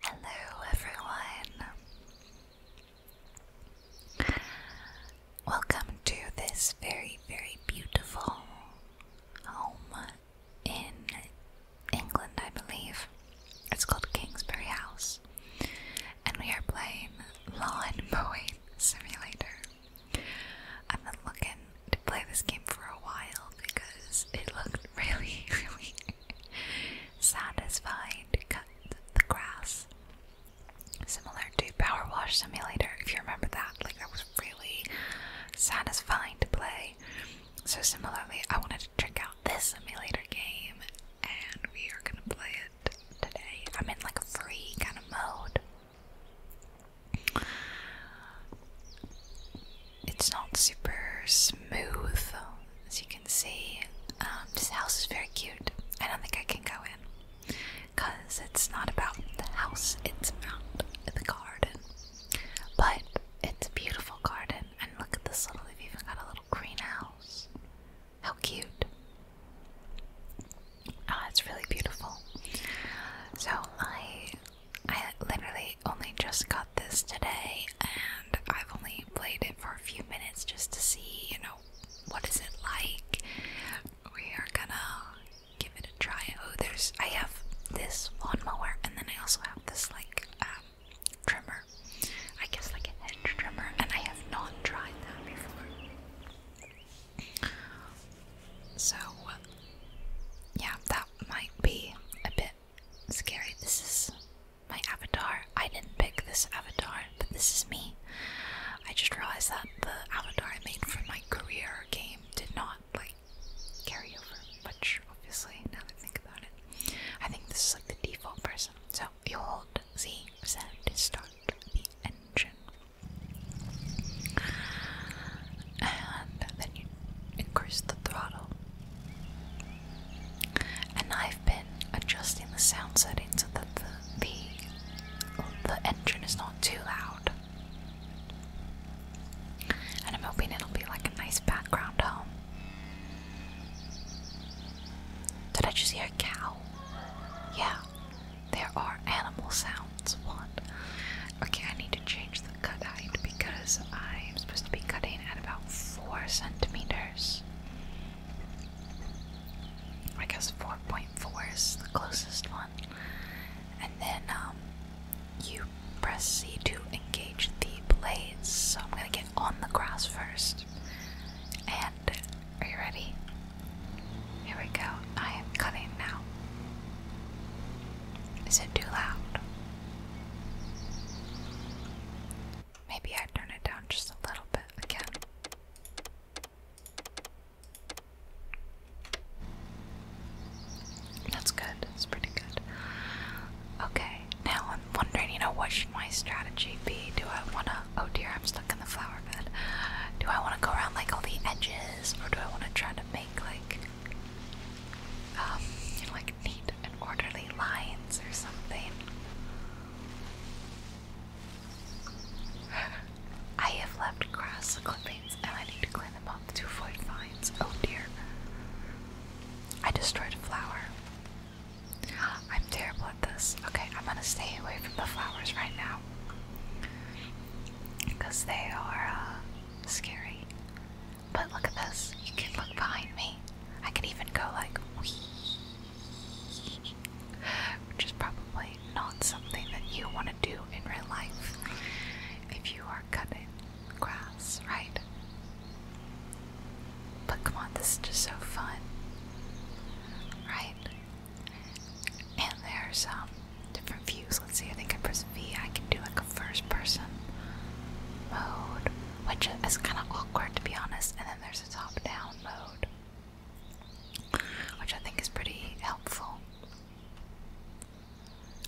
Hello, everyone. Welcome to this very, very beautiful home in England, I believe. It's called Kingsbury House, and we are playing Lawn Mowing Simulator. I've been looking to play this game for a while because it looked really, really satisfying to cut the grass. Similar to Power Wash Simulator, if you remember that, like that was really satisfying to play. So, similarly, I wanted to check out this simulator game and we are gonna play it today. I'm in like a free kind of mode it's not super smooth, as you can see. Um, this house is very cute. I don't think I can go in because it's not about the house, it's about the garden. But it's a beautiful garden, and look at this little, they've even got a little greenhouse. How cute! Ah, oh, it's really beautiful. So I, I literally I only just got this today and I've only played it for a few minutes just to see, you know, what is it like. We are gonna give it a try. Oh, there's I have this lawnmower and then I also have this like um, trimmer. I guess like a hedge trimmer and I have not tried that before. So yeah, that might be a bit scary. This is my avatar. I didn't pick this avatar, but this is me. I just realized that the avatar I made for my career game did not like carry over much, obviously, now that I think about it. I think this is like the default person. So you hold Z Z to start the engine. And then you increase the throttle. And I've been adjusting the sound settings so that the the, the engine is not too loud. And I'm hoping it'll be like a nice background home. Did I just hear a cow? Yeah, there are animal sounds. What? Okay, I need to change the cut height because I'm supposed to be cutting at about four centimeters. I guess 4.4 is the closest one. And then um, you press C to engage the blades. So I'm gonna get on the grass first. And are you ready? Here we go. I am cutting now. Is it too loud? Maybe I turn it down just a little bit again. That's good. That's pretty good. Okay, now I'm wondering, you know, what should my strategy be? Do I want to. Oh dear, I'm stuck in the flower bed. Do I want to go around like all the edges, or do I want to try to make like. Um, like like neat orderly lines or something. I have left grass clippings and I need to clean them up to avoid vines. Oh dear. I destroyed a flower. I'm terrible at this. Okay, I'm gonna stay away from the flowers right now. Because they are uh, scary. But look at this. You can look behind me. I can even go like whee, which is probably not something that you want to do in real life if you are cutting grass, right? But come on, this is just so fun, right? And there's um different views. Let's see. I think I press V. I can do like a first person mode, which is kind of to be honest, and then there's a top down mode, which I think is pretty helpful.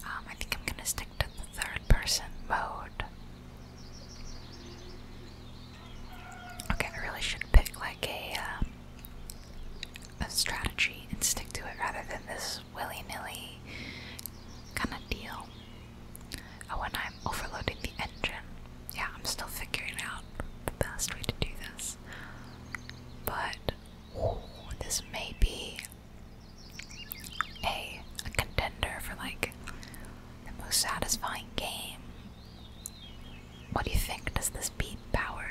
Um, I think I'm going to stick to the third person mode. Okay, I really should pick like a, uh, a strategy and stick to it rather than this willy nilly kind of deal. Oh, and I'm overloading the engine. Yeah, I'm still figuring out the best way to do this. But this may be a, contender for like the most satisfying game. What do you think? Does this beat Power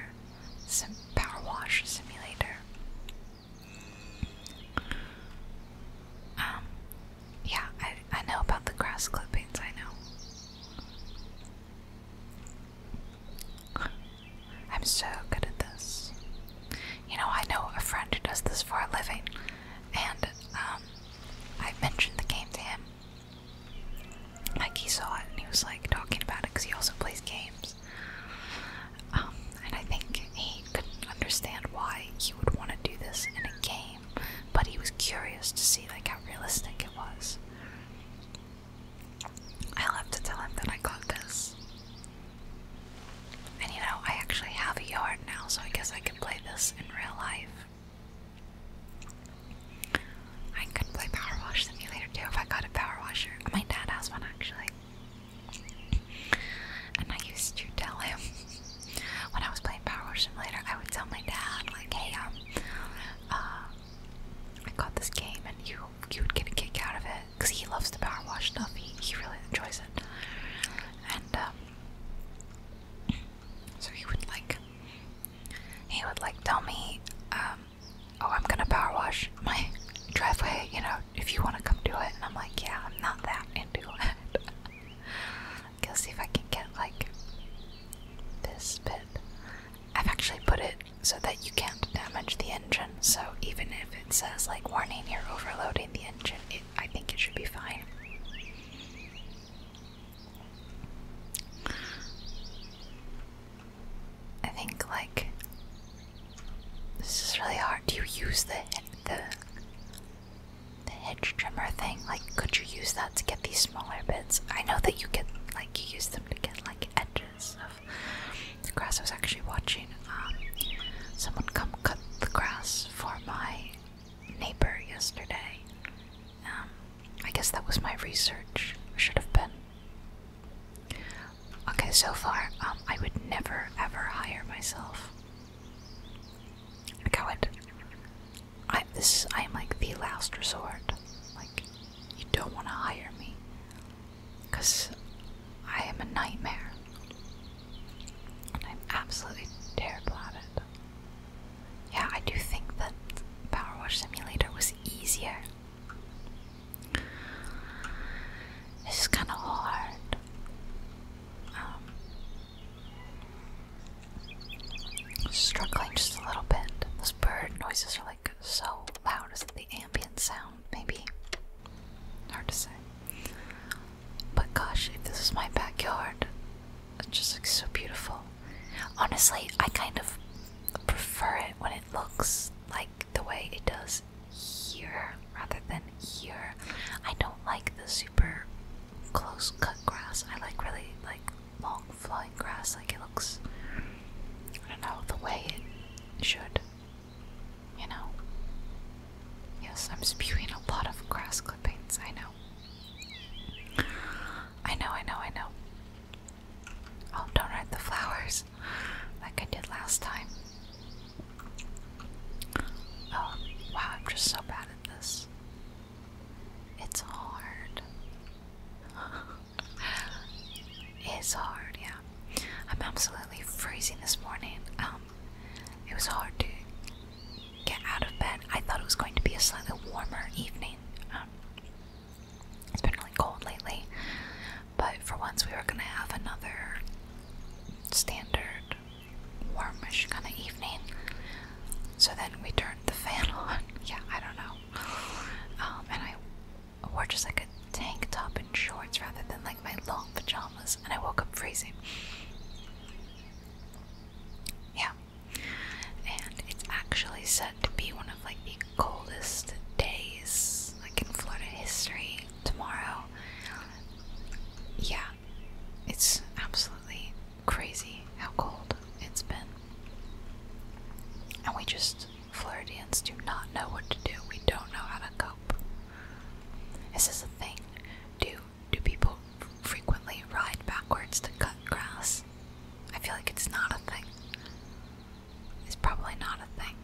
Power Wash Simulator? Um, yeah, I, I know about the grass clippings, I know. I'm so good at this. You know, I know a friend who does this for a living, and um, I mentioned the game to him. Like, he saw it and he was like talking about it because he also plays games. Um, and I think he couldn't understand why he would want to do this in a game but he was curious to see like how realistic it was. I'll have to tell him that I got this. And you know, I actually have a yard now, so I guess I can play this in real life. I could play Power Washer Simulator too if I got a power washer. My dad has one actually. And I used to tell him when I was playing Power Wash Simulator, I would tell my dad, like, hey, um, uh, I got this game and you you would get a kick out of it because he loves the power wash stuff. He, he really enjoys it. And, um, so he would like, he would like tell me, um, oh, I'm gonna power wash my driveway, you know, if you want to come do it. And I'm like, yeah, I'm not that into it. I guess see if I can get like this bit. I've actually put it so that you can't damage the engine, so even if it says like warning you're overloading the engine, I think it should be fine. I think like this is really hard. you use the the the hedge trimmer thing, like could you use that to get these smaller bits? I know that you get like you use them to get like edges of the grass. I was actually watching um, someone come cut the grass for my neighbor yesterday. Um, I guess that was my research. Should have been. Okay, so far, um, I would never ever hire myself. Coward. I this I am like the last resort. Like you don't want to hire me, cause I am a nightmare. I'm absolutely terrible at it. Yeah, I do think that Power Wash Simulator was easier. It's is kind of hard. Um, Struggling just a little bit. Those bird noises are like so loud. Is it the ambient sound? Maybe. Hard to say. But gosh, if this is my backyard, it just looks so beautiful. Honestly, I kind of prefer it when it looks like the way it does here rather than here. I don't like the super close cut grass. I like really like long flowing grass. Like it looks, I don't know, the way it should. You know? Yes, I'm spewing a lot of grass clippings. I know. I know, I know, I know. Oh, don't hurt the flowers like I did last time. Oh, wow, I'm just so bad at this. It's hard. it's hard, yeah. I'm absolutely freezing this morning. Um, it was hard to get out of bed. I thought it was going to be a slightly warmer evening. Um, it's been really cold lately, but for once we were gonna have another standard warmish kind of evening. So then we turned the fan on. Yeah, I don't know. Um, and I wore just like a tank top and shorts rather than like my long pajamas, and I woke up freezing. Yeah, and it's actually said to be one of like the coldest days like in Florida history tomorrow. Yeah, it's absolutely crazy how cold it's been. And we just, Floridians, do not know what to do. We don't know how to cope. This is a thing. Do, do people frequently ride backwards to cut grass? I feel like it's not a thing. It's probably not a thing.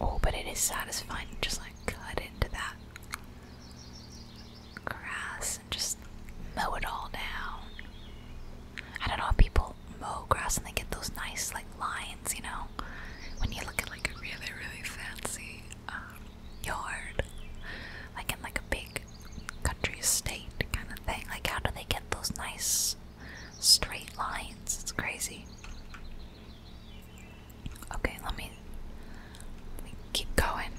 Oh, but it is satisfying just like cut into that grass and just mow it all down. I don't know if people mow grass and they get those nice like lines, you know, when you look at like a really really fancy um, yard, like in like a big country estate kind of thing. Like how do they get those nice straight lines? It's crazy. Okay, let me, keep going.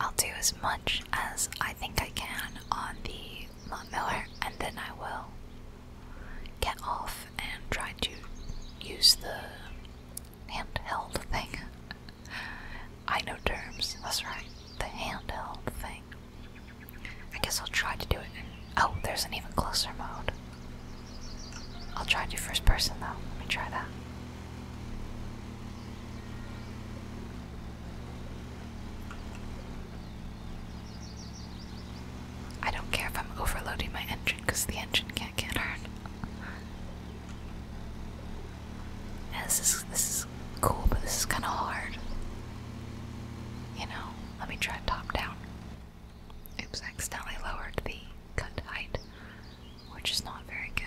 I'll do as much as I think I can on the Mont Miller, and then I will get off and try to use the handheld thing. I know terms, that's right, the handheld thing. I guess I'll try to do it Oh, there's an even closer mode. I'll try to do first person though. Let me try that. I don't care if I'm overloading my engine because the engine can't get hurt. this is this is cool, but this is kind of hard. You know, let me try top down. Oops, accidentally lowered the cut height which is not very good.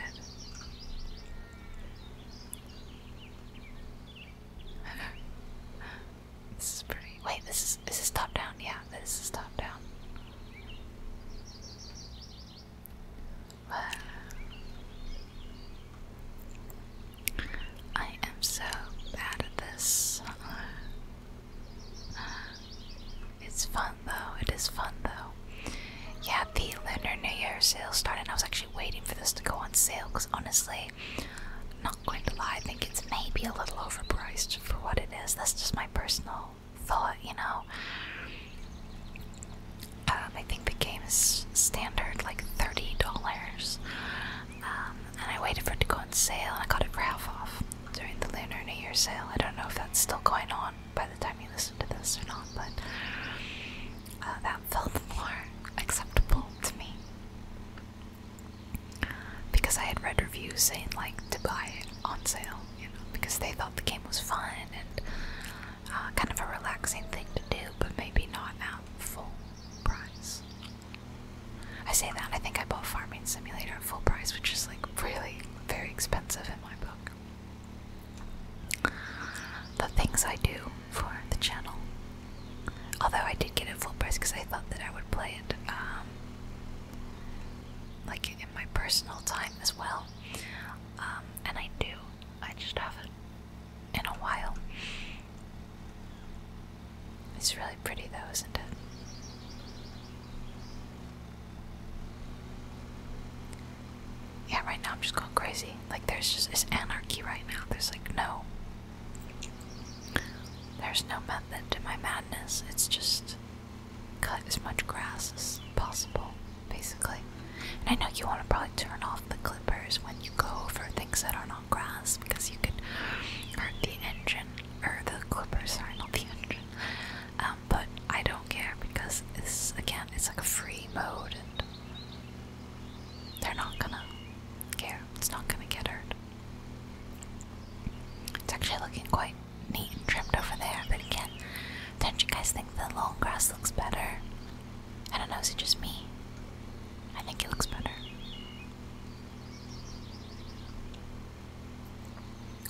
Wait, this is this is top down? Yeah, this is top down. I am so bad at this. It's fun though. It is fun though. Yeah, the Lunar New Year sale started. I was actually waiting for this to go on sale because honestly, i not going to lie, I think it's maybe a little overpriced for what it is. That's just my personal thought, you know. Um, I think the game is standard like thirty dollars, um, and I waited for it to go on sale, and I got it for half off during the Lunar New Year sale. I don't know if that's still going on by the time you listen to this or not, but uh, that felt more acceptable to me. Because I had read reviews saying, like, to buy it on sale, you know, because they thought the game was fun and uh, kind of a relaxing thing to do, but maybe not at full price. I say that, I think I bought Farming Simulator at full price, which is like really very expensive in my book the things I do for the channel. Although I did get it full price because I thought that I would play it um, like in my personal time as well, um, and I do. I just haven't in a while. It's really pretty though, isn't it? Yeah, right now I'm just going crazy. Like, there's just it's anarchy right now. There's like no. There's no method to my madness. It's just cut as much grass as possible, basically. And I know you want to probably turn off the clippers when you go for things that are not grass because you could hurt the engine. Or the clippers, sorry, not the engine. Um, but I don't care because this again it's like a free mode and they're not gonna care. It's not gonna get hurt. It's actually looking quite neat and trimmed over there, but again, don't you guys think the long grass looks better? I don't know, is it just me? I think it looks better.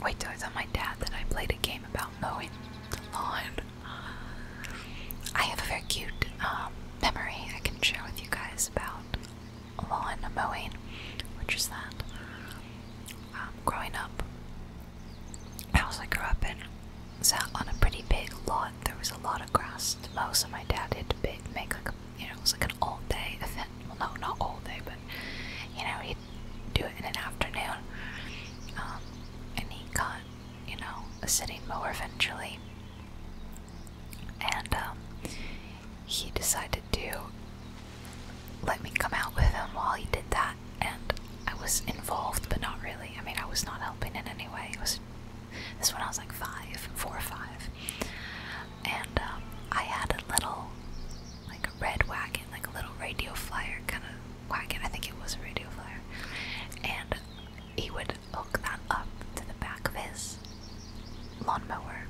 Wait till I tell my dad that I played a game about mowing the lawn. I have a very cute um, memory I can share with you guys about lawn mowing, which is that um, growing up, I was also grew up in sat on a pretty big lot. There was a lot of grass to mow, so my dad had to make like a, you know it was like an all day event. Well, no, not all day, but you know he do it in an afternoon. Um, and he got, you know, a sitting mower eventually. And um, he decided to let me come out with him while he did that. And I was involved, but not really. I mean, I was not helping in any way. It was this when I was like five, four or five. And um, I had a little, like a red wagon, like a little radio flyer kind of wagon. I think it was a radio flyer, and he would hook that up to the back of his lawnmower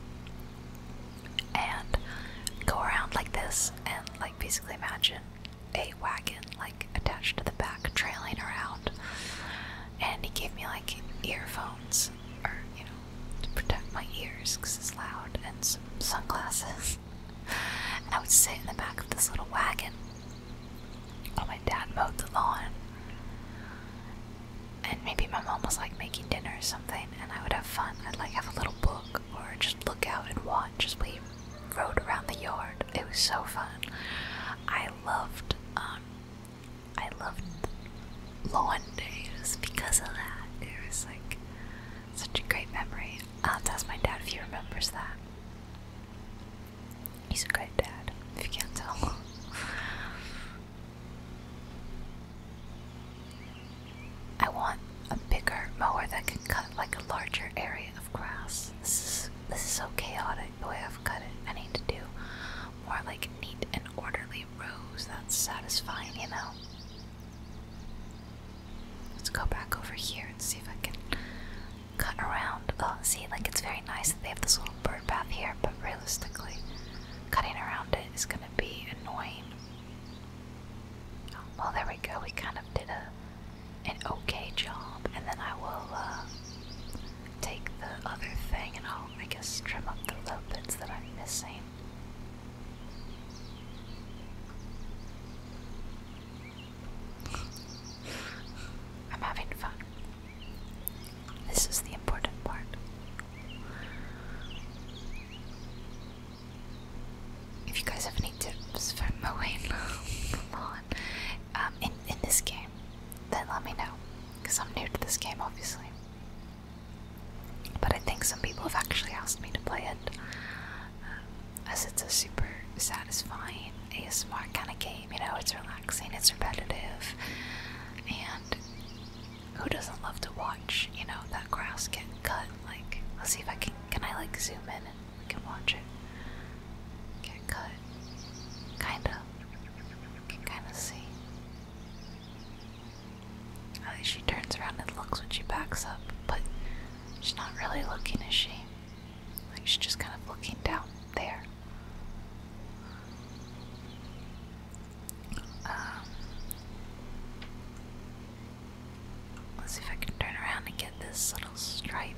and go around like this, and like basically imagine a wagon like attached to the back, trailing around. And he gave me like earphones, or you know, to protect my ears because it's loud, and some sunglasses. I would sit in the back of this little wagon while my dad mowed the lawn. And maybe my mom was like making dinner or something, and I would have fun. I'd like have a little book or just look out and watch as we rode around the yard. It was so fun. I loved, um, I loved lawn days because of that. It was like such a great memory. I'll ask my dad if he remembers that. He's a great dad, if you can't tell. I want a bigger mower that can cut like a larger area of grass. This is this is so chaotic the way I've cut it. I need to do more like neat and orderly rows. That's satisfying, you know. Let's go back over here and see if I can cut around. Oh, see, like it's very nice that they have this little bird bath here, but realistically, cutting around it is gonna be annoying. Oh, well, there we go. We kind of did a an okay job, and then I will uh, take the other thing and I'll, I guess, trim up the little bits that I'm missing. I'm having fun. This is the important part. If you guys have any tips for mowing the lawn um, in, in this game, then let me know. Because I'm new to this game, obviously. But I think some people have actually asked me to play it as it's a super satisfying ASMR kind of game. You know, it's relaxing, it's repetitive, and who doesn't love to watch? You know, that grass get cut. Like, let's see if I can. Can I like zoom in and we can watch it get cut? Kinda. can kind of see. I think she turns around and looks when she backs up, but She's not really looking, is she? Like she's just kind of looking down there. Um, let's see if I can turn around and get this little stripe.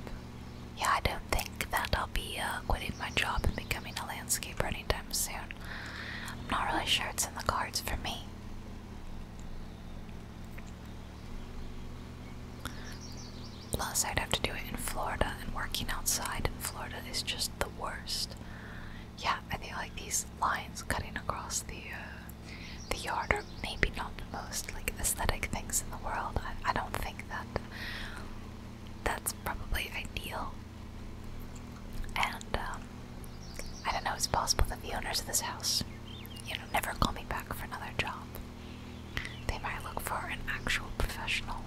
Yeah, I don't think that I'll be uh, quitting my job and becoming a landscaper anytime soon. I'm not really sure it's in the cards for me. Plus, I'd have to do it in Florida, and working outside in Florida is just the worst. Yeah, I think like these lines cutting across the uh, the yard are maybe not the most like aesthetic things in the world. I, don't think that that's probably ideal. And um, I don't know. It's possible that the owners of this house, you know, never call me back for another job. They might look for an actual professional.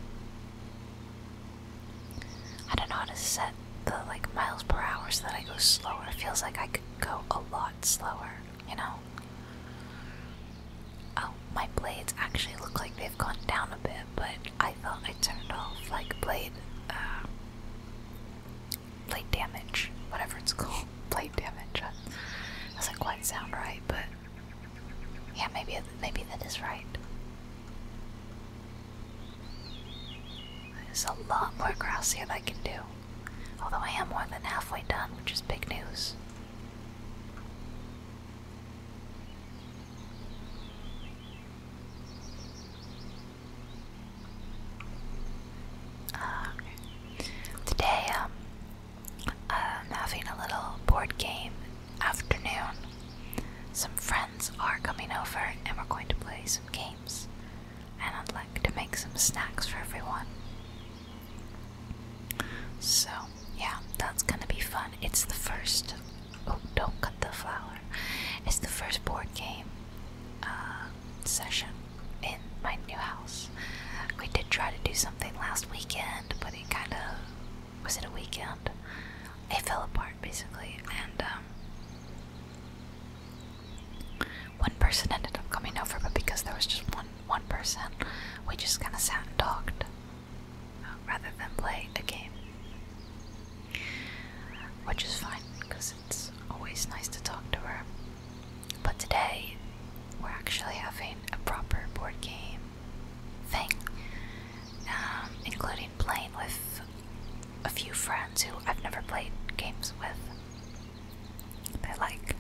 I don't know how to set the like miles per hour so that I go slower. It feels like I could go a lot slower, you know? Oh, my blades actually look like they've gone down a bit, but I thought I turned off like blade uh, plate damage, whatever it's called, plate damage. doesn't quite sound right, but yeah, maybe maybe that is right. There's a lot more grass here that I can do, although I am more than halfway done, which is big news. Ah, okay. Today, um, I'm having a little board game afternoon. Some friends are coming over and we're going to play some games. And I'd like to make some snacks for everyone. So, yeah, that's gonna be fun. It's the first. Oh, don't cut the flower. It's the first board game uh, session in my new house. We did try to do something last weekend, but it kind of was it a weekend? It fell apart basically, and um, one person ended up coming over, but because there was just one one person, we just kind of sat and talked rather than play a game, which is fine because it's always nice to talk to her. But today, we're actually having a proper board game thing, um, including playing with a few friends who I've never played games with. They're like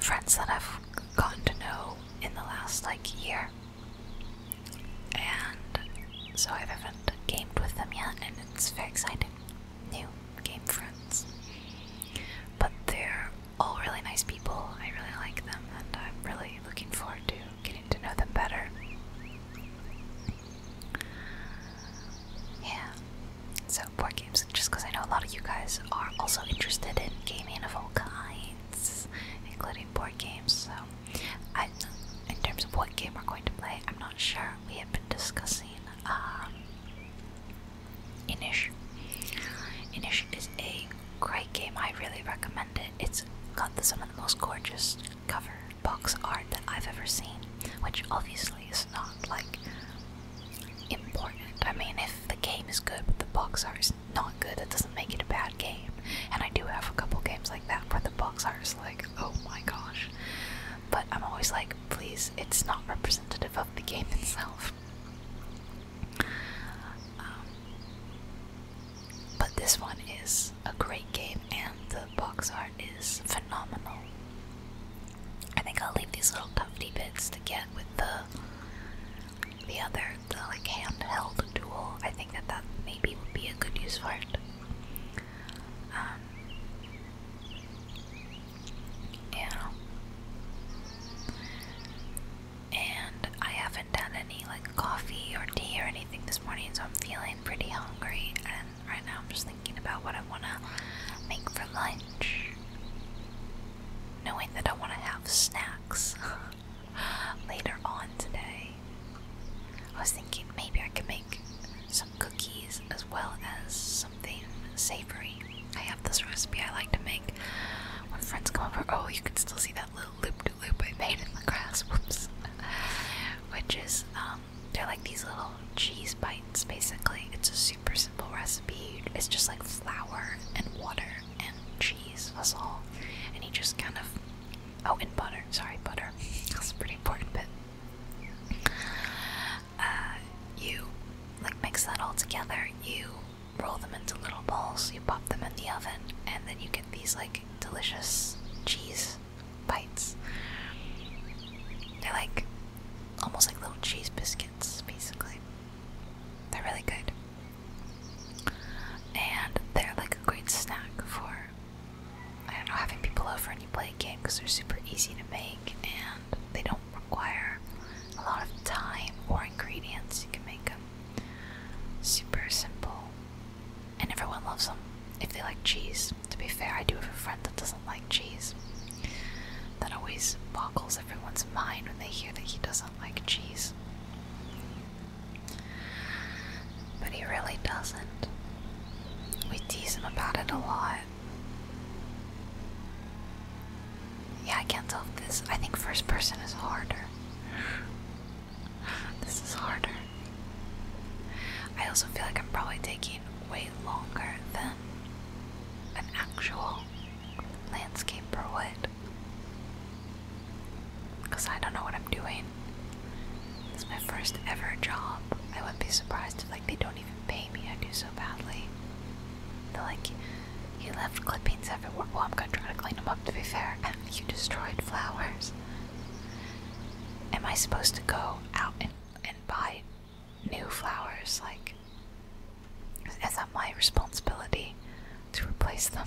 friends that I've gotten to know in the last like year, and so I haven't gamed with them yet, and it's very exciting new game friends. But they're all really nice people. I really like them, and I'm really looking forward to getting to know them better. Yeah. So, board games, just because I know a lot of you guys are also interested in gaming of all kinds, including board games. So, I, in terms of what game we're going to play, I'm not sure. We have been discussing um, Inish. Inish is a great game. I really recommend it. It's got some of the most gorgeous cover box art that I've ever seen, which obviously is not like important. I mean, if the game is good but the box art is not good, it doesn't make it a bad game. And I do have a couple games like that where the box art is like, oh my gosh. But I'm always like, please, it's not representative of the game itself. Um, but this one is a great game, and the box art is phenomenal. I think I'll leave these little tufty bits to get with the the other, the like handheld tool. I think that that maybe would be a good use for it. Um, yeah. And I haven't done any like coffee or tea or anything this morning, so I'm feeling pretty hungry. And right now I'm just thinking about what I want to make for lunch, knowing that I want to have snacks later on today. I was thinking maybe I could make some cookies as well as something savory. I have this recipe I like to make when friends come over. Oh, you can still see that little loop-de-loop -loop I made in the grass. Which is, um, they're like these little cheese bites, basically. It's a super simple recipe. It's just like flour and water and cheese, that's all. And you just kind of, oh, and butter. Sorry, butter. That's a pretty important bit. Uh, you like mix that all together. You roll them into little balls. You pop them in the oven, and then you get these like delicious cheese bites. They're like almost like little cheese biscuits, basically. They're really good, and they're like a great snack for I don't know having people over and you play a game because they're super easy to make and they don't require a lot of time or ingredients. You can make them super simple, and everyone loves them if they like cheese. To be fair, I do have a friend that doesn't like cheese. That always boggles everyone's mind when they hear that he doesn't like cheese. But he really doesn't. We tease him about it a lot. Yeah, I can't tell if this. I think first person is harder. this is harder. I also feel like I'm probably taking way longer than an actual landscaper would. Because I don't know what I'm doing. It's my first ever job. I wouldn't be surprised if they don't even pay me. I do so badly. They're like, you left clippings everywhere. Well, I'm gonna try to clean them up to be fair. And you destroyed flowers. Am I supposed to go out and and buy new flowers? Like, is that my responsibility to replace them,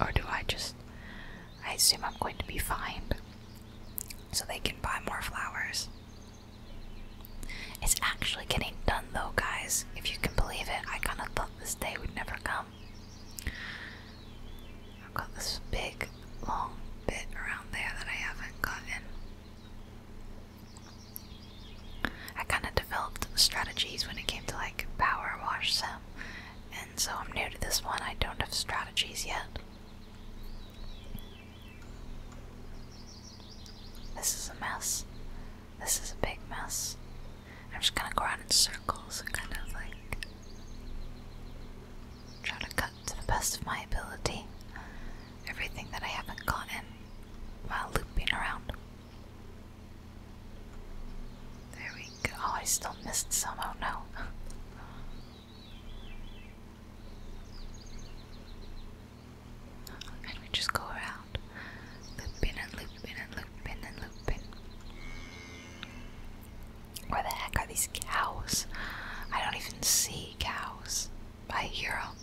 or do I just? I assume I'm going to be fined, so they can buy more flowers. It's actually getting done though, guys. If you can believe it, I kind of thought this day would never come. I've got this big, long bit around there that I haven't gotten. I kind of developed strategies when it came to like power wash them, and so I'm new to this one. I don't have strategies yet. This is a mess. This is a big mess. I'm just gonna go around in circles and kind of like trying to cut to the best of my ability everything that I haven't gotten while looping around. There we go. Oh, I still missed some. Oh no and we just go around looping and looping and looping and looping. Where the heck are these cows? I don't even see cows. I hear them.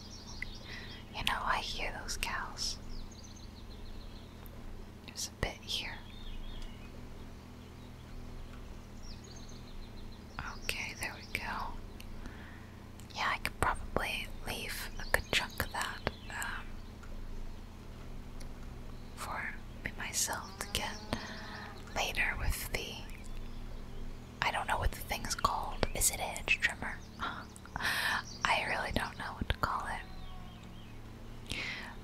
You know, I hear those cows. There's a bit here. Okay, there we go. Yeah, I could probably leave a good chunk of that um, for myself to get later with the. I don't know what the thing's called. Is it edge trimmer? I really don't know what to call it.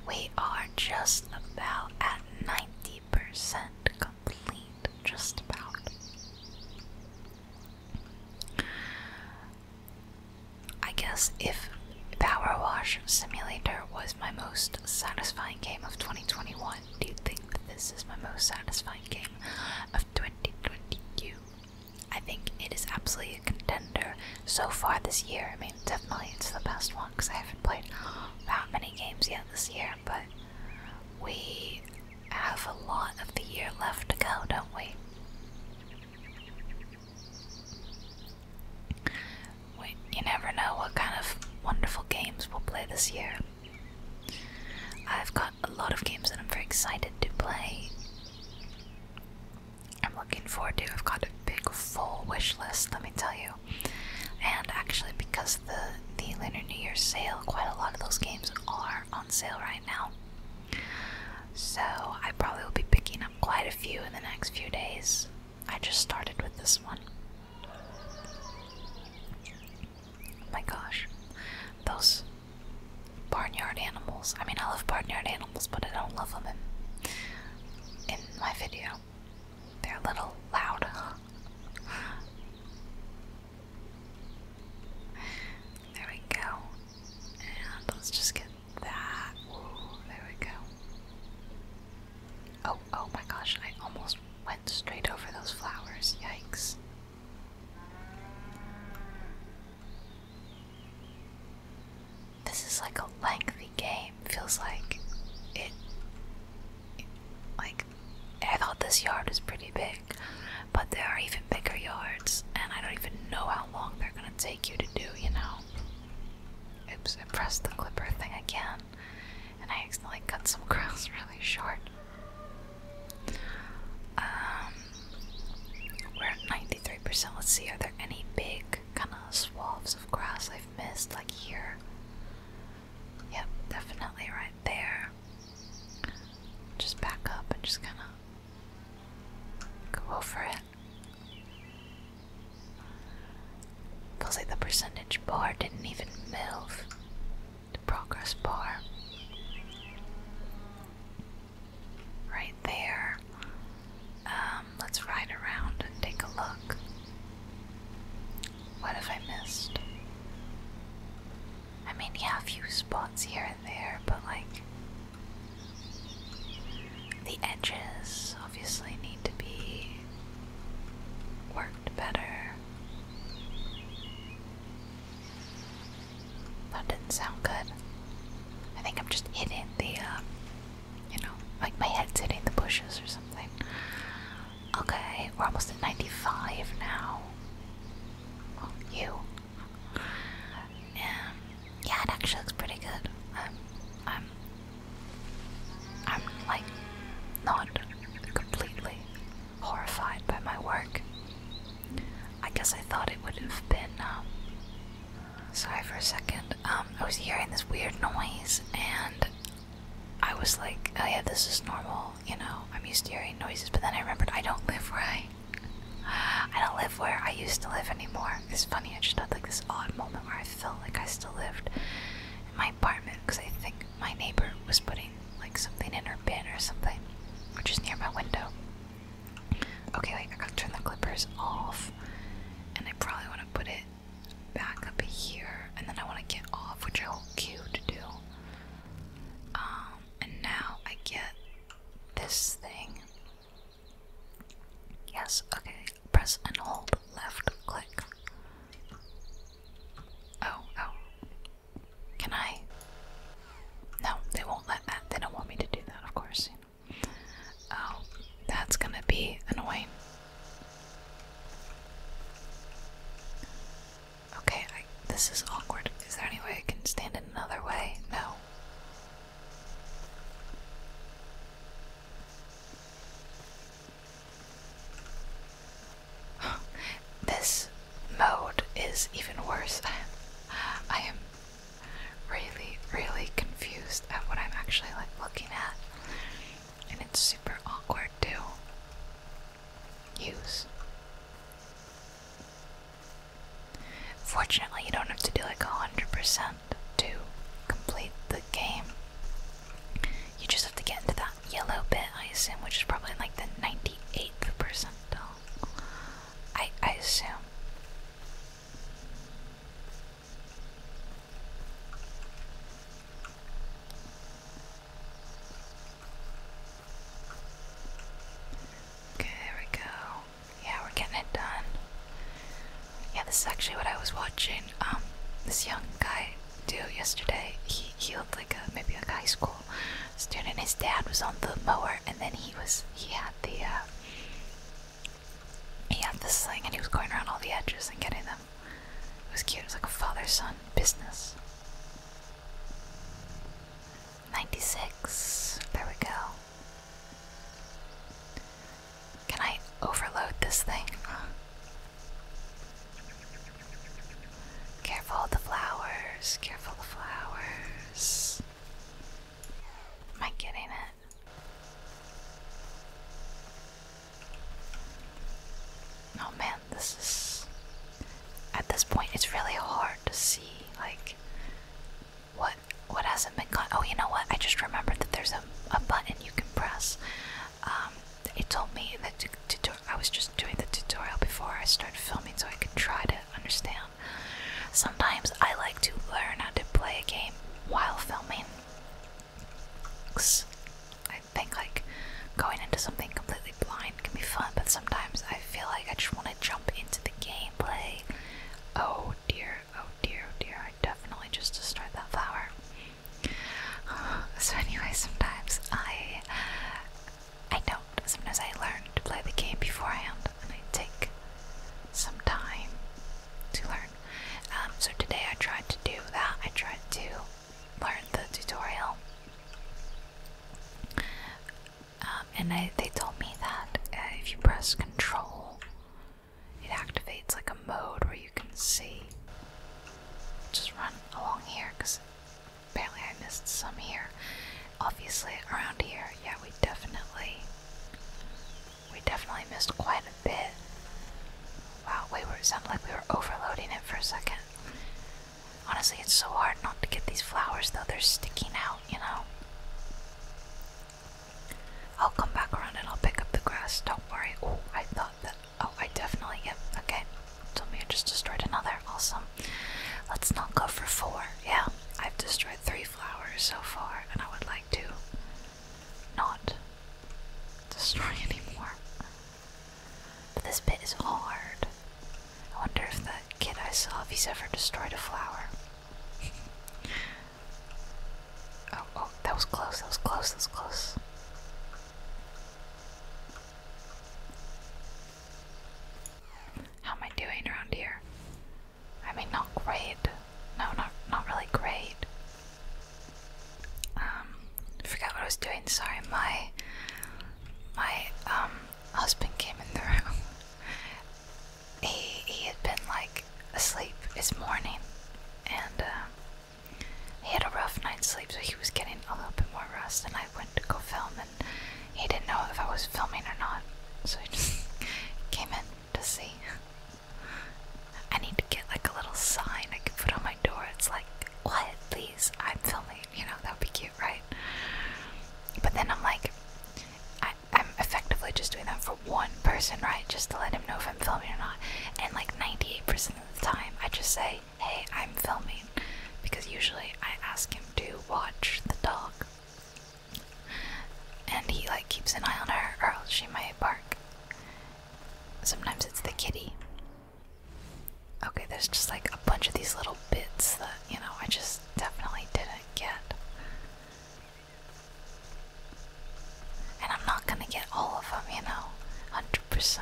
We are just about at 90% complete. Just about. I guess if Power Wash Simulator was my most satisfying game of 2021, do you think that this is my most satisfying game of 2022? I think it is absolutely a contender so far this year. I mean, definitely it's the best one because I haven't played that many games yet this year, but we have a lot of the year left to go, don't we? you never know what kind of wonderful games we'll play this year. I've got a lot of games that I'm very excited to play. I'm looking forward to. I've got a big full wish list, let me tell you. And actually, because the the Lunar New Year sale, quite a lot of those games are on sale right now. So I probably will be picking up quite a few in the next few days. I just started with this one. Oh my gosh, those barnyard animals. I mean, I love barnyard animals, but I don't love them in, my video. They're a little loud. There we go. And let's just get that. Ooh, there we go. Oh, oh my gosh, I almost went straight over those flowers. Yikes. This is like a lengthy game. Feels like it, it. Like, I thought this yard was pretty big, but there are even bigger yards, and I don't even know how long they're gonna take you to do, you know? Oops, I pressed the clipper thing again, and I accidentally cut some grass really short. Um, we're at 93%. Let's see, are there any big kind of swaths of grass I've missed, like here? Yep, definitely right there. Just back up and just kind of Go for it. Feels like the percentage bar didn't even move. The progress bar. Right there. Um, let's ride around and take a look. What have I missed? I mean, yeah, a few spots here and there, but like the edges obviously need to be worked better. That didn't sound good. I think I'm just hitting the, uh, you know, like my head's hitting the bushes or something. Okay, we're almost at 95 now. Oh, you um, yeah, it actually looks pretty good. I'm, I'm, I'm like not completely horrified by my work. I guess I thought it would have been. Um, sorry for a second. Um, I was hearing this weird noise, and I was like, "Oh yeah, this is normal." You know, I'm used to hearing noises. But then I remembered I don't live where I I don't live where I used to live anymore. It's funny, I just had like this odd moment where I feel like I still lived in my apartment because I think my neighbor was putting like something in her bin or something, which is near my window. Okay, wait, I gotta turn the clippers off, and I probably want to put it back up here, and then I want to get off, which I'll cue to do. Um, and now I get this thing Yes, okay. Press and hold left click. Oh, oh. Can I? No, they won't let that. They don't want me to do that, of course. Oh, that's gonna be annoying. Okay, this is awkward. Is there any way I can stand in another way? No this mode is even worse. I am really, really confused at what I'm actually like looking at. And it's super awkward to use. Fortunately, you don't have to do like 100% to complete the game. You just have to get into that yellow bit, I assume, which is probably like the 98th percentile. I, I assume. Okay, there we go yeah, we're getting it done. Yeah, this is actually what I was watching. Um, this young guy do yesterday. He he looked like a maybe a high school student. His dad was on the mower, and then he was he had the uh, he had the sling, and he was going around all the edges and getting them. It was cute. It was like a father-son business. 96. There we go. Can I overload this thing? Careful the flowers, careful the flowers. Am I getting it? Oh man, this is. At this point, it's really hard to see, like, what what hasn't been cut? Oh, you know what? I just remembered that there's a, a button you can press. Um, it told me that to do. I was just doing the tutorial before I started filming, so I could try to understand. Sometimes I like to learn how to play a game while filming. I think like going into something completely blind can be fun, but sometimes I feel like I just want to jump into the gameplay Oh dear, oh dear, oh dear, I definitely just destroyed that flower. So anyway, sometimes I I don't. Sometimes I learn to play the game beforehand and I take some time to learn. Um, so today I tried to do that. I tried to learn the tutorial. Um, and they told me that uh, if you press Control, it activates like a mode where you can see. Just run along here because apparently I missed some here. Obviously, around here, yeah, we definitely, we definitely missed quite a bit. Wow, wait, we were. It sounded like we were overloading it for a second. Honestly, it's so hard not to get these flowers though. They're sticking out, you know. I'll come back around and I'll pick up the grass, don't worry. Oh, I thought that. Oh, I definitely. Yep, okay. I just destroyed another. Awesome. Let's not go for four. Yeah, I've destroyed three flowers so far, and I would like to not destroy anymore. But this bit is hard. I wonder if that kid I saw, if he's ever destroyed a flower oh, oh, that was close, that was close, that was close. How am I doing around here? I mean, not great. No, not, not really great. Um, forgot what I was doing. Sorry, my my um husband came in the room he he had been like asleep this morning, and uh, he had a rough night's sleep, so he was getting a little bit more rest. And I went to go film, and he didn't know if I was filming or not, so he just came in to see. I need to get like a little sign I can put on my door. It's like, what? Please, I'm filming. You know, that would be cute, right? But then I'm like, I, I'm effectively just doing that for one person, right? Just to let him know if I'm filming or not. And like 98% of the time, I just say, hey, I'm filming. Because usually I ask him to watch the dog. And he like keeps an eye on her or else she might bark. Sometimes it's the kitty. Okay, there's just like a bunch of these little bits that, you know, I just definitely didn't get. And I'm not gonna get all of them, you know, 100%.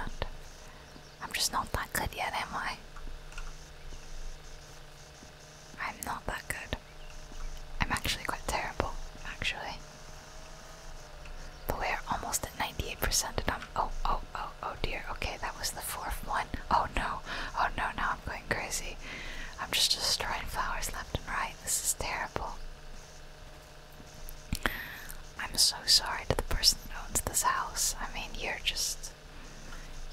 I'm just not that good yet, am I? I'm not that good. I'm actually quite terrible, actually. But we're almost at 98% and i oh, oh, oh, oh dear, okay, that was the fourth one. Oh no, oh no, no, I'm going crazy. I'm just destroying flowers left and right. This is terrible. I'm so sorry to the person who owns this house. I mean, you're just.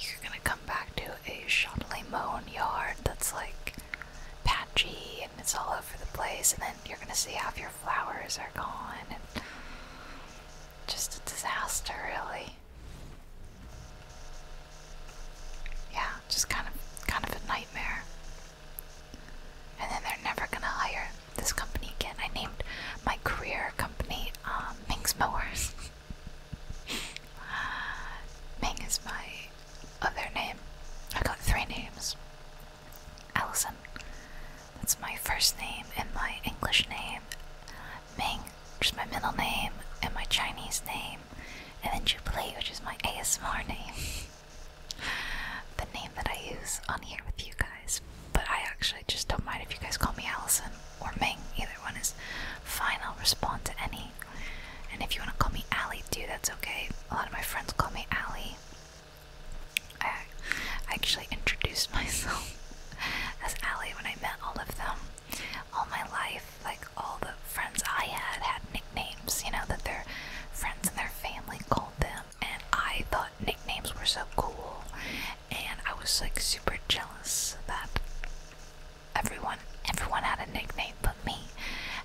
You're gonna come back to a shoddy mown yard that's like patchy and it's all over the place, and then you're gonna see half your flowers are gone and. Just a disaster, really. Yeah, just kind of kind of a nightmare. And then they're never gonna hire this company again. I named my career company um, Ming's Mowers. Ming is my other name. I got three names. Allison. That's my first name and my English name. Ming, which is my middle name and my Chinese name and then Jubilee, which is my ASMR name, the name that I use on here with you guys. But I actually just don't mind if you guys call me Allison or Ming. Either one is fine. I'll respond to any. And if you want to call me Allie too, that's okay. A lot of my friends call me Allie. I, actually introduced myself as Allie when I met all of them all my life, like all the friends I had had nicknames, you know, that their friends and their family called them. And I thought nicknames were so cool. And I was like super jealous that everyone everyone had a nickname but me.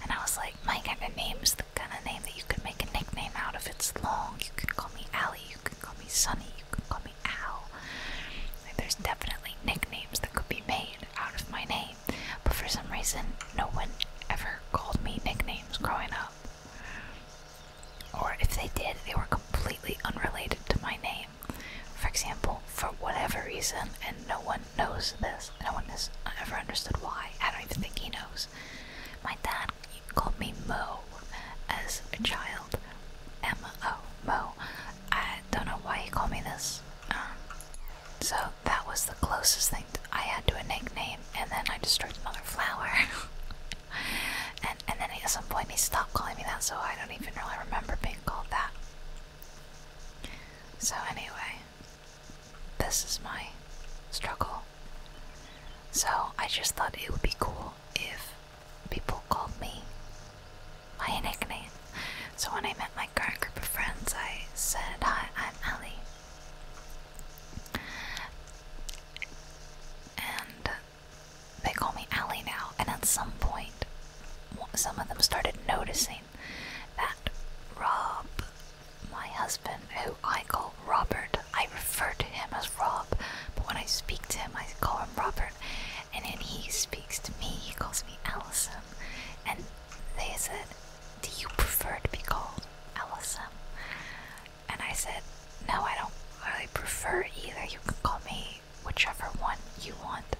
And I was like, my kind of name is the kind of name that you could make a nickname out of. It's long. You can call me Allie. You can call me Sunny. You can call me Al. Like, there's definitely nicknames that could be made out of my name me, but for some reason, no one ever called me nicknames growing up. Or if they did, they were completely unrelated to my name. For example, for whatever reason, and no one knows this, no one has ever understood why, I don't even think he knows. My dad called me Mo as a child. M O Mo. I don't know why he called me this. Um, so that was the closest thing I had to a nickname, and then I destroyed another flower. and and then at some point he stopped calling me that, so I don't even really remember being called that. So anyway, this is my struggle. So I just thought it would be cool if people called me my nickname. So when I met my current group of friends, I said, Hi, I'm Ellie. And they call me Ellie now, and at some point, some of them started noticing that Rob, my husband, who I call Robert, I refer to him as Rob, but when I speak to him, I call him Robert, and then he speaks to me, he calls me Allison, and they said, Do you prefer to be called Allison? And I said, No, I don't really prefer either. You can call me whichever one you want.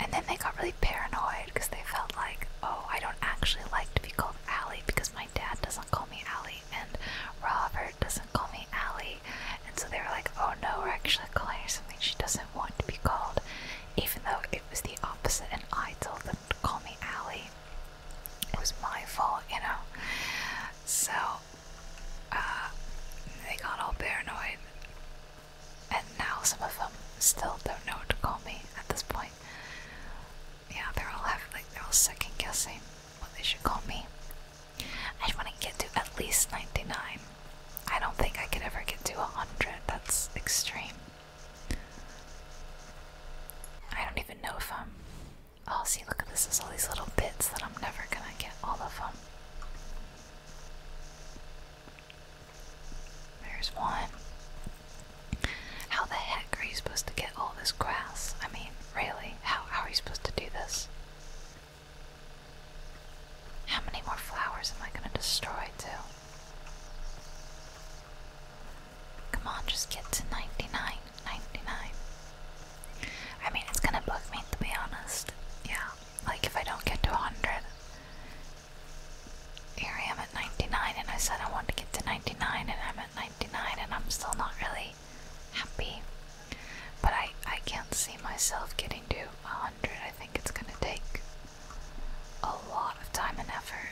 And then they got really paranoid because they felt like, Oh, I don't actually like to be called Allie because my dad doesn't call me Allie and Robert doesn't call me Allie. And so they were like, Oh no, we're actually calling her something she doesn't want to be called, even though it was the opposite, and I told them to call me Allie. It was my fault, you know. So uh, they got all paranoid, and now some of them still don't know what to call me at this point. Yeah, they're all having they're all second guessing what they should call me. I just want to get to at least ninety nine. I don't think I could ever get to hundred. That's extreme. I don't even know if I'm. Oh, see, look at this. There's all these little bits that I'm never gonna get all of them. There's one. How the heck are you supposed to get all this grass? I mean, really? How, how are you supposed to do this? How many more flowers am I going to destroy, too? Come on, just get to 99. 99. I mean, it's going to bug me, to be honest. Yeah, like if I don't get to 100. Here I am at 99, and I said I want to get to 99, and I'm at 99, and I'm still not really happy. But I, I can't see myself getting to 100. I think it's going to take a lot of time and effort.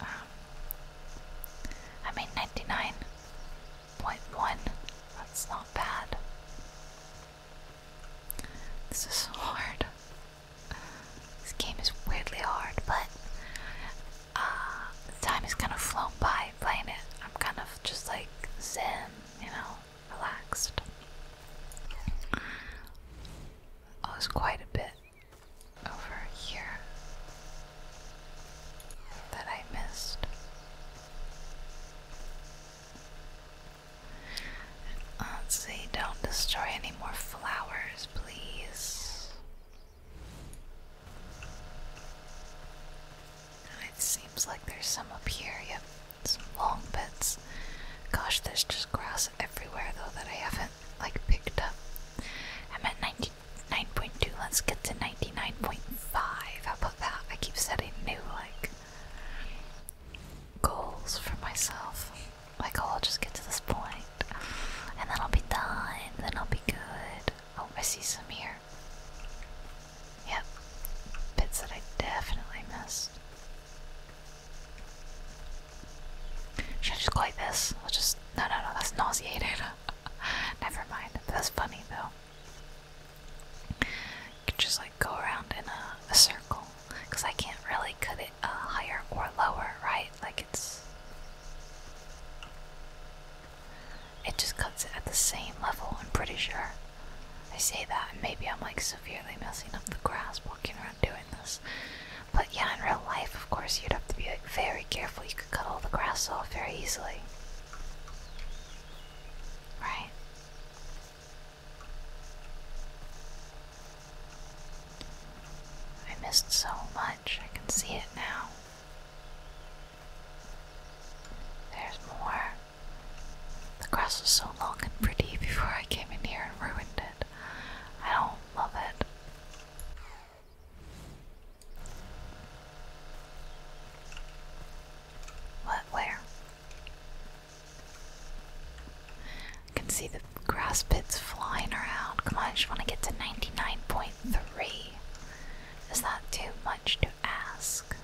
Um, I made 99.1, that's not bad. This is hard. This game is weirdly hard, but the uh, time is kind of flown by playing it. I'm kind of just like zen, you know, relaxed. Oh, it's quite a bit over here that I missed. let don't destroy any more flowers, please. It seems like there's some up here, yep. Some long bits. Gosh, there's just grass everywhere though that I haven't like picked up. I'm at 99.2, let's get to 99.5. How about that? I keep setting new like goals for myself. Like oh, I'll just get to this point and then I'll be done, then I'll be good. Oh, I see some here. Yep. Bits that I definitely missed. Should I just go like this? I'll just. No, no, no, that's nauseated. Never mind. That's funny though. You can just like go around in a, circle. Because I can't really cut it uh, higher or lower, right? Like it's. It just cuts it at the same level, I'm pretty sure. I say that, and maybe I'm like severely messing up the grasp around doing this. But yeah, in real life, of course, you'd have to be like, very careful. You could cut all the grass off very easily. Right? I missed so much. I can see it now. There's more. The grass was so long and pretty before I came in here and ruined it. I don't love it. What? Where? I can see the grass flying around. Come on, I just want to get to 99.3. Is that too much to ask?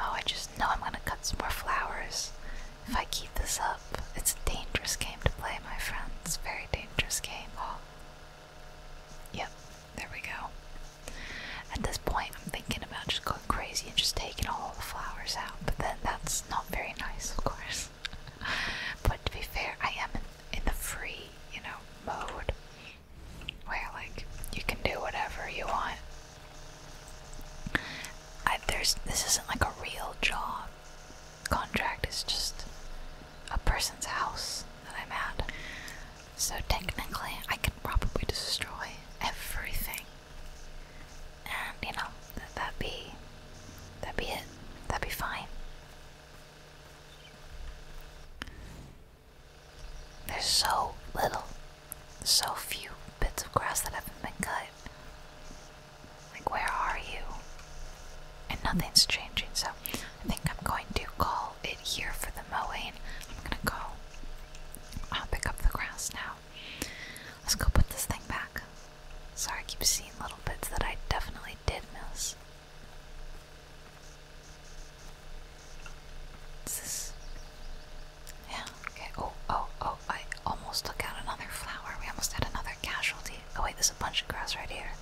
Oh, I just know I'm gonna cut some more flowers if I keep this up. It's a dangerous game to play, my friends. Very dangerous game. Oh. Yep, there we go. At this point, I'm thinking about just going crazy and just taking all the flowers out, but then that's not very nice, of course. but to be fair, I am in, in the free, you know, mode where, like, you can do whatever you want this isn't like a real job contract. It's just a person's house that I'm at. So technically, I can probably destroy everything, and you know that that be that be it. That'd be fine. There's so little so few bits of grass that haven't been cut. Like, where are you? And nothing's changing, so I think I'm going to call it here for the mowing. I'm gonna go I'll uh, pick up the grass now. Let's go put this thing back. Sorry, I keep seeing little bits that I definitely did miss. this yeah, okay. Oh, oh, oh, I almost took out another flower. We almost had another casualty. Oh, wait, there's a bunch of grass right here.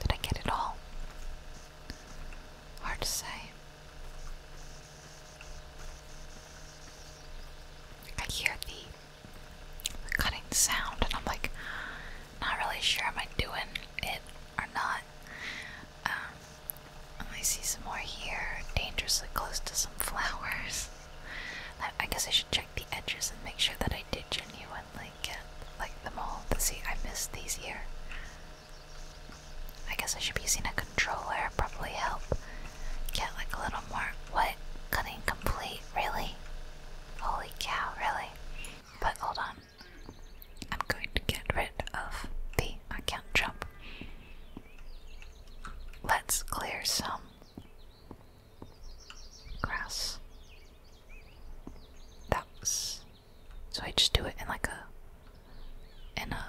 Did I get it all? Hard to say. I hear the, cutting sound, and I'm like, not really sure am I doing it or not. Um, I see some more here, dangerously close to some flowers. I, guess I should check the edges and make sure that I did genuinely get like them all. But see, I missed these here. I guess I should be using a controller, probably help get like a little more. What? Cutting complete? Really? Holy cow, really? But hold on, I'm going to get rid of the account jump. Let's clear some grass. That so I just do it in like a in a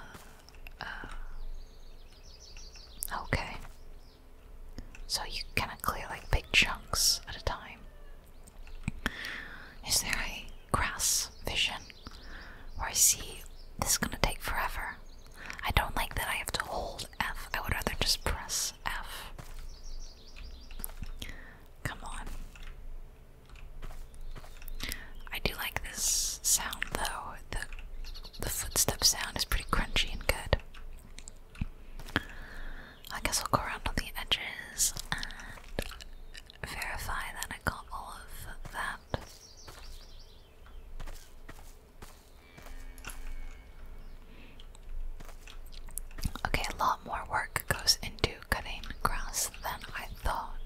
uh, okay. So you kind of clear like big chunks at a time. Is there a grass vision where I see this is gonna take forever? I don't like that I have to hold F. I would rather just press F. Come on. I do like this sound though. The the footstep sound is pretty crunchy and good. I guess I'll go around on the edges verify that I got of that. Okay, a lot more work goes into cutting grass than I thought.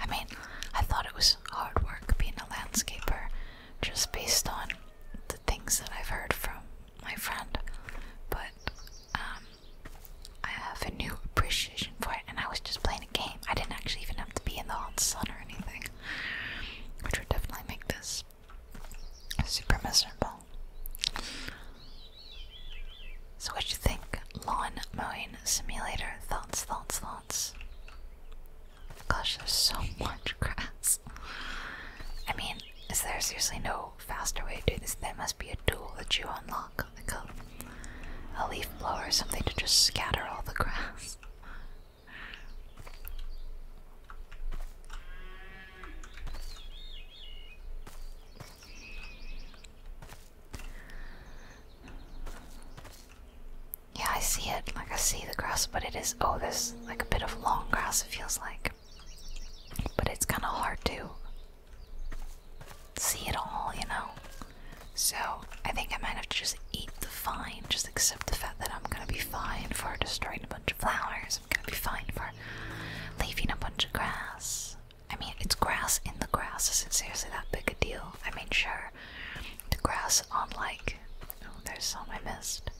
I mean, I thought it was hard work being a landscaper just based on the things that I've heard from my friend, but um, I have a new appreciation for it, and I was just playing a game. I didn't actually even have to be in the hot sun or anything, which would definitely make this super miserable. So, what do you think? Lawn mowing simulator. Thoughts, thoughts, thoughts. Gosh, there's so much grass. I mean, is there seriously no faster way to do this? There must be a tool that you unlock a, a leaf blower or something to just scatter all the grass. Yeah, I see it. Like, I see the grass, but it is. Oh, there's like a bit of long grass, it feels like. But it's kind of hard to see it all, you know? So I think I might have to just eat the fine, just accept the fact that I'm gonna be fine for destroying a bunch of flowers, I'm gonna be fine for leaving a bunch of grass. I mean, it's grass in the grass, isn't seriously that big a deal. I mean, sure, the grass on like. Oh, there's some I missed.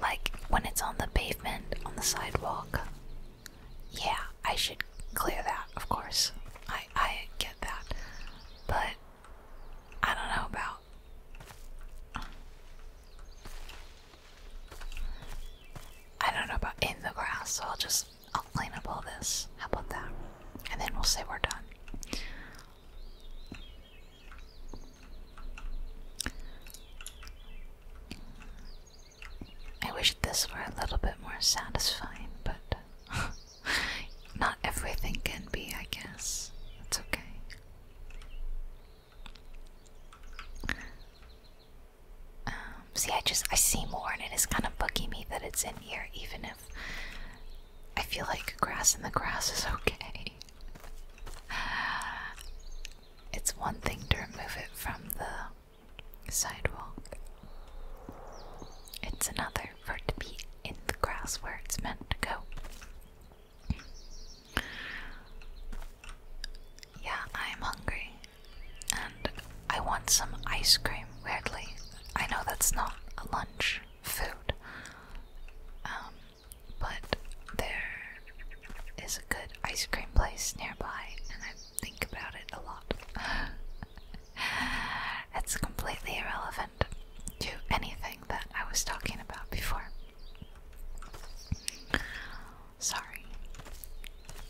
Like when it's on the pavement, on the sidewalk, yeah, I should clear that, of course. I I get that. But I don't know about I don't know about in the grass, so I'll just I'll clean up all this. How about that? And then we'll say we're done. I wish this were a little bit more satisfying, but not everything can be, I guess. It's okay. Um, see, I just I see more, and it is kind of bugging me that it's in here, even if I feel like grass in the grass is okay. It's one thing to remove it from the sidewalk. It's another for it to be in the grass where it's meant to go. Yeah, I'm hungry. And I want some ice cream, weirdly. I know that's not a lunch food. Um, but there is a good ice cream place nearby, and I've think about it a lot. it's completely irrelevant to anything that I was talking about before. Sorry.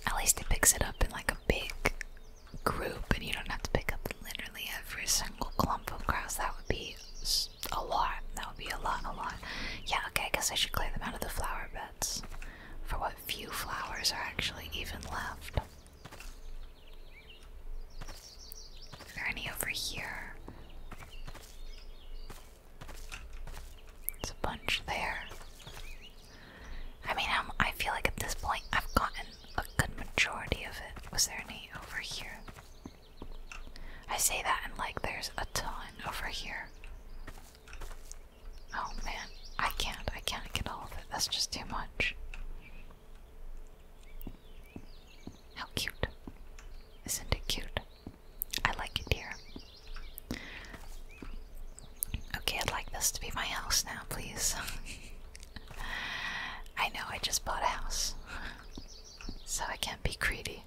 At least it picks it up in like a big group, and you don't have to pick up literally every single clump of grass. That would be a lot. That would be a lot, a lot. Yeah, okay, I guess I should clear them out of the flower beds. For what what few flowers are actually even left. Are there any over here? There's a bunch there. I mean, I feel like at this point I've gotten a good majority of it. Was there any over here? I say that and like there's a ton over here. Oh man, I can't, I can't get all of it. That's just too much. How cute. Isn't it cute? I like it here. Okay, I'd like this to be my house now, please. I know I just bought a house, so I can't be greedy.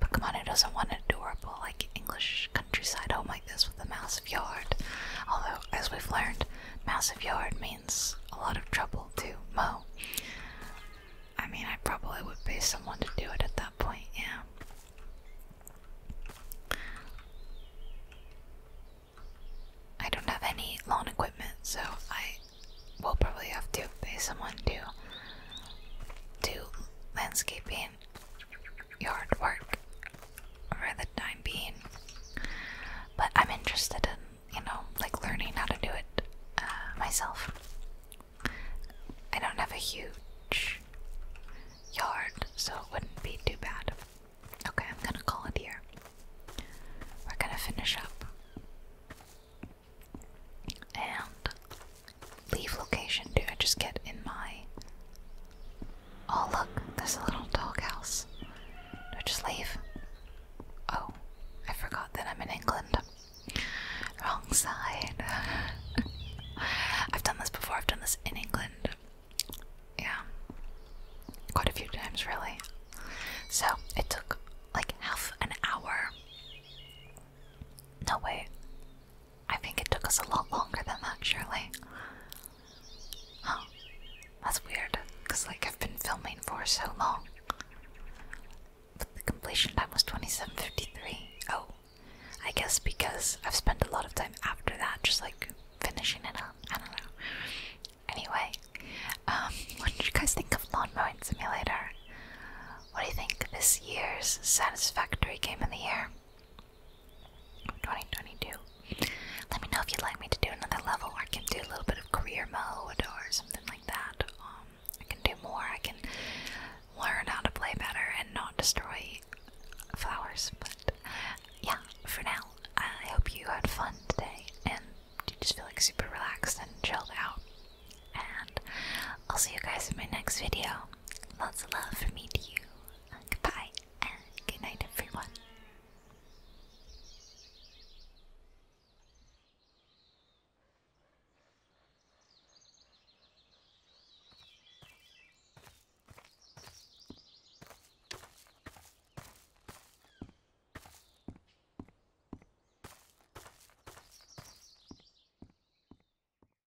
But come on, who doesn't want an adorable, like, English countryside home like this with a massive yard? Although, as we've learned, massive yard means a lot of trouble to mow. I mean, I probably would pay someone to do it at that point, yeah. I don't have any lawn equipment, so I will probably have to pay someone to do landscaping Yard work for the time being. But I'm interested in, you know, like learning how to do it uh, myself. I don't have a huge yard, so it wouldn't be too bad. Okay, I'm gonna call it here. We're gonna finish up. And leave location do I just get in my... Oh look, there's a little doghouse. Do I just leave? Oh, I forgot that I'm in England. Wrong side. I've done this before, I've done this in England. Yeah. Quite a few times, really. So, it took like half an hour. No, way. I think it took us a lot longer than that, surely. Huh. That's weird, because like I've been filming for so long. the completion time was 2753. Oh. I guess because I've spent a lot of time after that just like finishing it up. I don't know. Anyway, um, what did you guys think of Lawn Simulator? What do you think this year's satisfactory game of the year? 2022. Let me know if you'd like me to do another level, or I can do a little bit of career mode or something like that. Um, I can do more. I can learn how to play better and not destroy flowers. But yeah, for now, I hope you had fun today and you just feel like super relaxed and chilled out. And I'll see you guys in my next video. Lots of love for me to you. Uh, goodbye and good night, everyone.